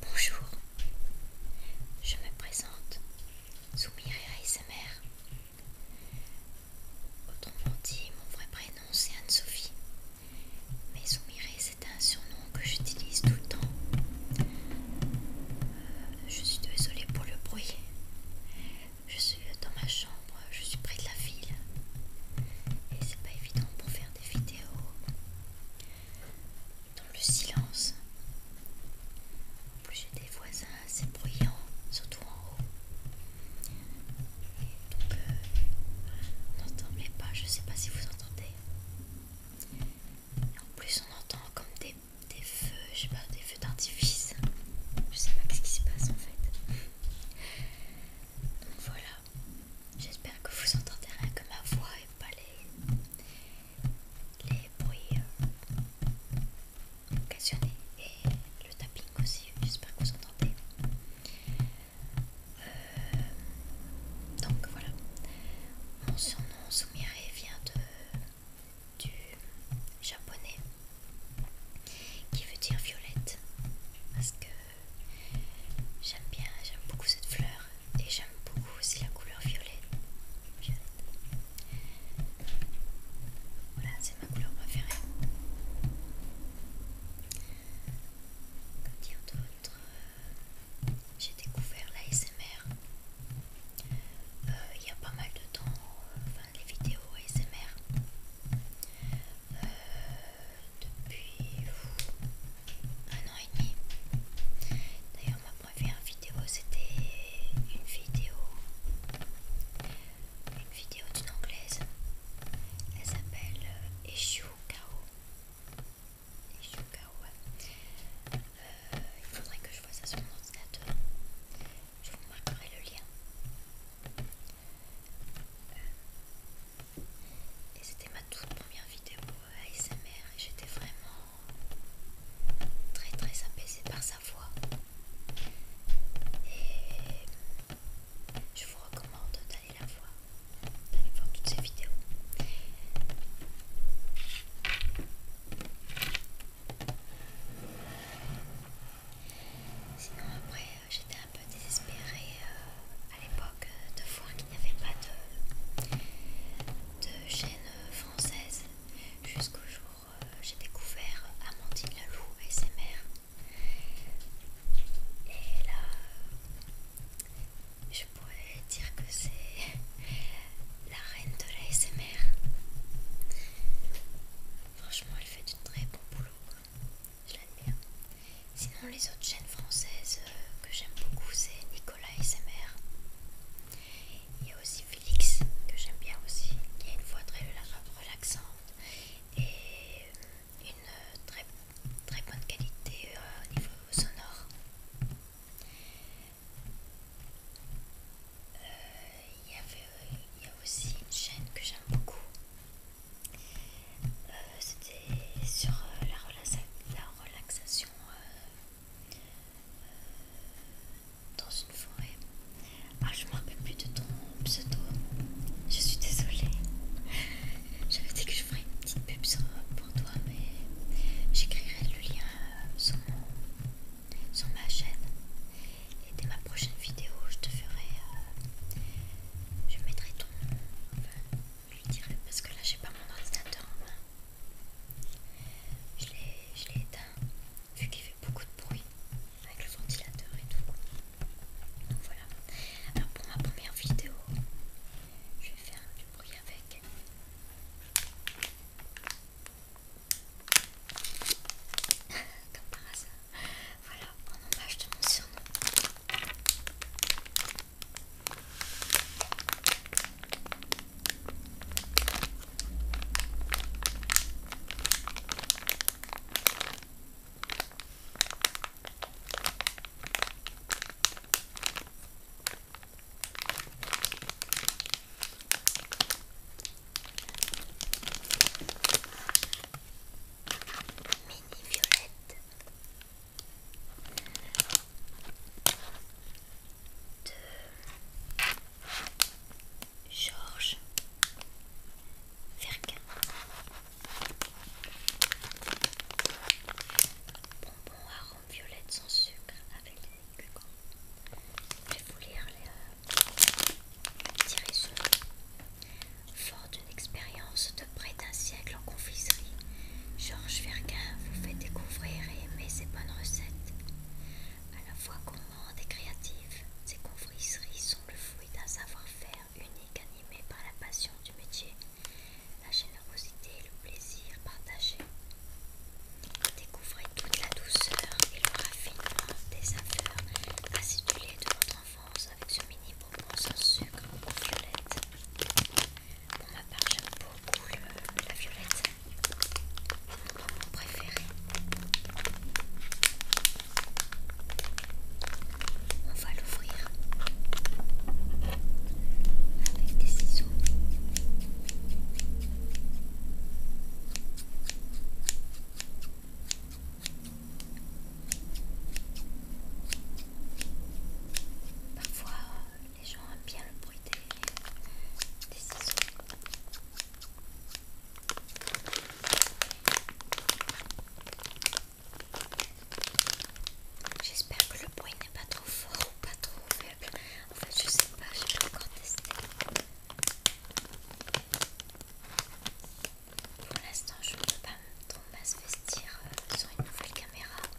Bonjour, je me présente, sa mère. Autrement dit, mon vrai prénom c'est Anne-Sophie. Mais Zoumiré c'est un surnom que j'utilise tout le temps. Euh, je suis désolée pour le bruit. Je suis dans ma chambre, je suis près de la ville. Et c'est pas évident pour faire des vidéos dans le silence. En plus j'ai des voisins assez bruyants, surtout en haut. donc euh, on n'entend pas, je sais pas si vous entendez. en plus on entend comme des, feux, je sais pas, des feux d'artifice. Je sais pas ce qui se passe en fait. Donc voilà. J'espère que vous entendez rien que ma voix et pas les, bruits euh, occasionné et le tapping aussi, j'espère que vous entendez. Euh, donc voilà, mon surnom Soumire vient de, du japonais qui veut dire violette parce que j'aime bien, j'aime beaucoup cette fleur et j'aime beaucoup aussi la couleur violette, voilà, c'est ma couleur préférée. Quand dire d'autres, j'ai découvert l'ASMR euh, il y a pas mal de temps, euh, enfin les vidéos ASMR. Euh, depuis un an et demi. D'ailleurs ma première vidéo c'était une vidéo une vidéo d'une anglaise. Elle s'appelle euh, Kao. Eshu Kao, euh, il faudrait que je vois ça sur mon ordinateur. Je vous marquerai le lien. Euh, et c'était ma toute première vidéo euh, ASMR et j'étais vraiment très très apaisée par ça la Et je vous recommande d'aller la voir, d'aller voir toutes ces vidéos. Sinon après euh, j'étais un peu désespérée euh, à l'époque euh, de voir qu'il n'y avait pas de, de chaîne française jusqu'au jour euh, j'ai découvert Amandine Lalou et Et là, euh, je pourrais dire que c'est la reine de la SMR. Franchement, elle fait du très bon boulot. Je l'admire. Hein. Sinon, les autres chaînes françaises euh, que j'aime beaucoup, c'est Nicolas SMR il y a aussi Félix que j'aime bien aussi, qui a une voix très relaxante et euh, une euh, très, très bonne qualité euh, au niveau sonore. il, y avait, il y a aussi une chaîne que j'aime beaucoup. C'était sur la, la relaxation dans une forêt. Ah, je me rappelle plus de ton pseudo. Je suis désolée. J'avais dit que je ferais une petite pub sur, pour toi, mais j'écrirai le lien euh, sur, sur ma chaîne. Et dès ma prochaine vidéo, je te ferai. Euh, je mettrai ton je lui dirai parce que là, j'ai pas mon ordinateur en main. Je l'ai éteint vu qu'il fait beaucoup de bruit avec le ventilateur et tout. Donc voilà. Alors pour ma première vidéo, je vais faire du bruit avec. Comme par hasard. Voilà, en hommage de mon surnom. Mini violette de Georges Verquin. bonbon arôme rhum violette sans sucre avec des cucans. Je vais vous lire les euh, petits résumés. Fort d'une expérience de près d'un siècle en confiserie, Georges Verguin vous fait découvrir et aimer ses bonnes recettes. À la fois gourmandes et créatives, ces confiseries sont le fruit d'un savoir-faire unique animé par la passion du métier, la générosité et le plaisir partagé. Découvrez toute la douceur et le raffinement des saveurs acidulées de votre enfance avec ce mini bonbon sans sucre ou violettes. Pour ma part, j'aime beaucoup la violette. C'est mon préféré. On va l'ouvrir avec des ciseaux. Parfois, les gens aiment bien le bruit des, ciseaux. J'espère que le bruit n'est pas trop fort ou pas trop faible. En fait, je sais pas, j'ai pas encore testé. Pour l'instant, je ne peux pas me trop se vestir euh, sur une nouvelle caméra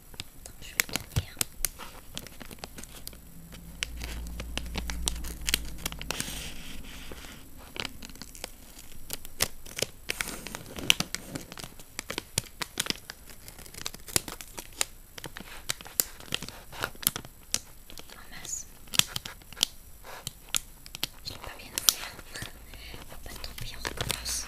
Attends, je vais le tenir. Oh mince, je l'ai pas bien ouvert. va pas tomber, en recommence.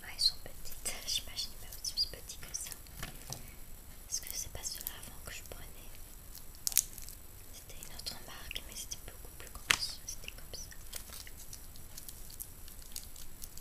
Ah, ils sont petites, j'imagine même aussi petites que ça. Est-ce que c'est pas cela avant que je prenais C'était une autre marque, mais c'était beaucoup plus grosse. C'était comme ça.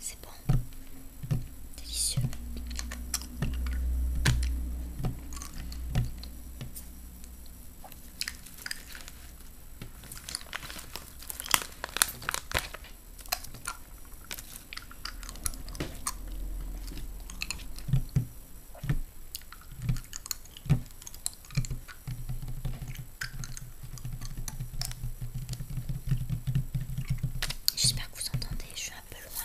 C'est bon, délicieux. J'espère que vous entendez, je suis un peu loin.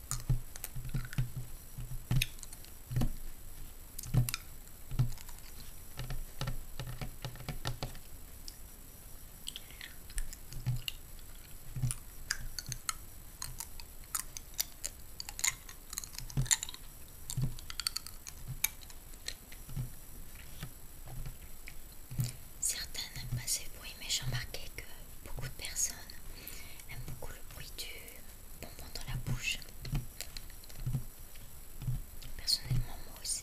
Certains n'aiment pas ces bruits, mais j'ai remarqué que beaucoup de personnes aiment beaucoup le bruit du bonbon dans la bouche. Personnellement, moi aussi.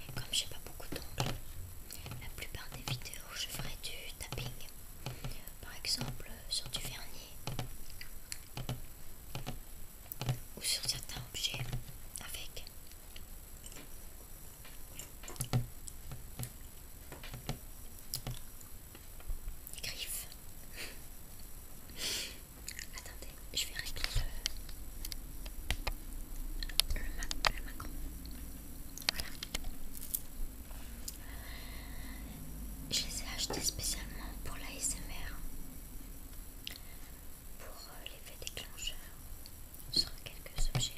Et comme j'ai pas beaucoup d'ongles, la plupart des vidéos je ferai du tapping, par exemple sur du vernis ou sur certains objets avec. Des griffes. Attendez je vais régler le, macron. Voilà. Je les ai achetés spécialement pour l'ASMR, pour euh, l'effet déclencheur sur quelques objets.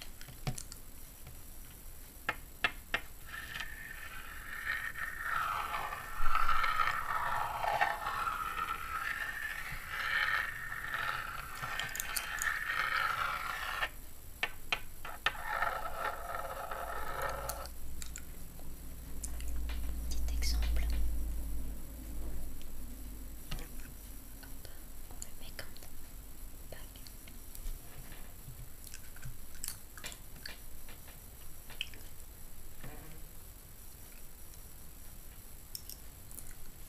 Petit exemple. on le met comme ça.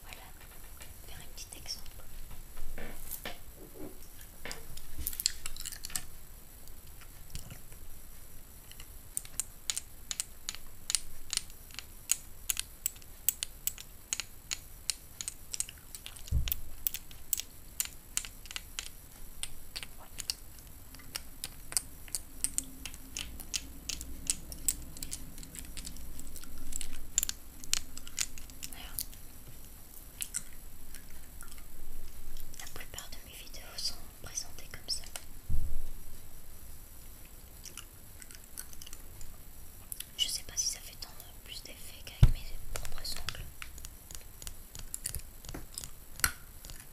Voilà, faire un petit exemple. La plupart de mes vidéos sont présentées comme ça. Je sais pas si ça fait tant plus d'effet qu'avec mes propres ongles.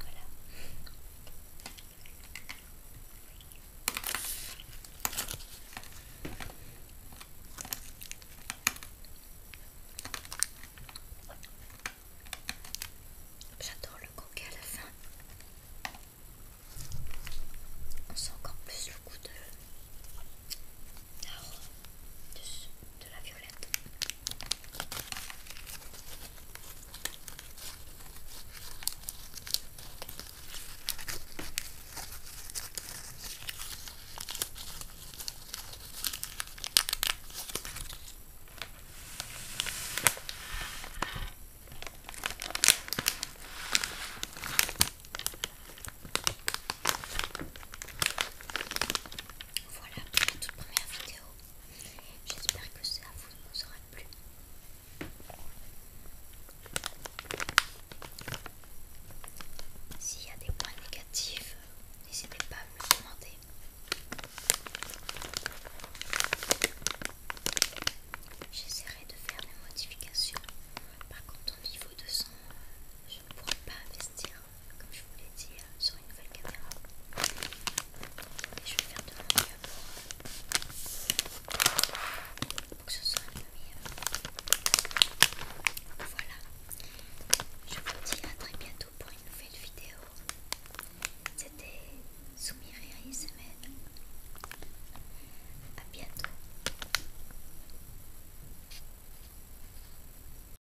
Voilà. J'adore le coquet à la fin. On sent encore plus le goût de, de la violette. Voilà pour la toute première vidéo. J'espère que ça vous aura plu. S'il y a des points négatifs, n'hésitez pas à me le commenter. J'essaierai de faire des modifications. Par contre, au niveau de son, je ne pourrai pas investir comme je vous l'ai dit, euh, sur une nouvelle caméra. Et je vais faire de mon mieux pour, euh, que ce soit peu mieux. Voilà, je vous dis à très bientôt pour une nouvelle vidéo. C'était Soumire semaine. A bientôt.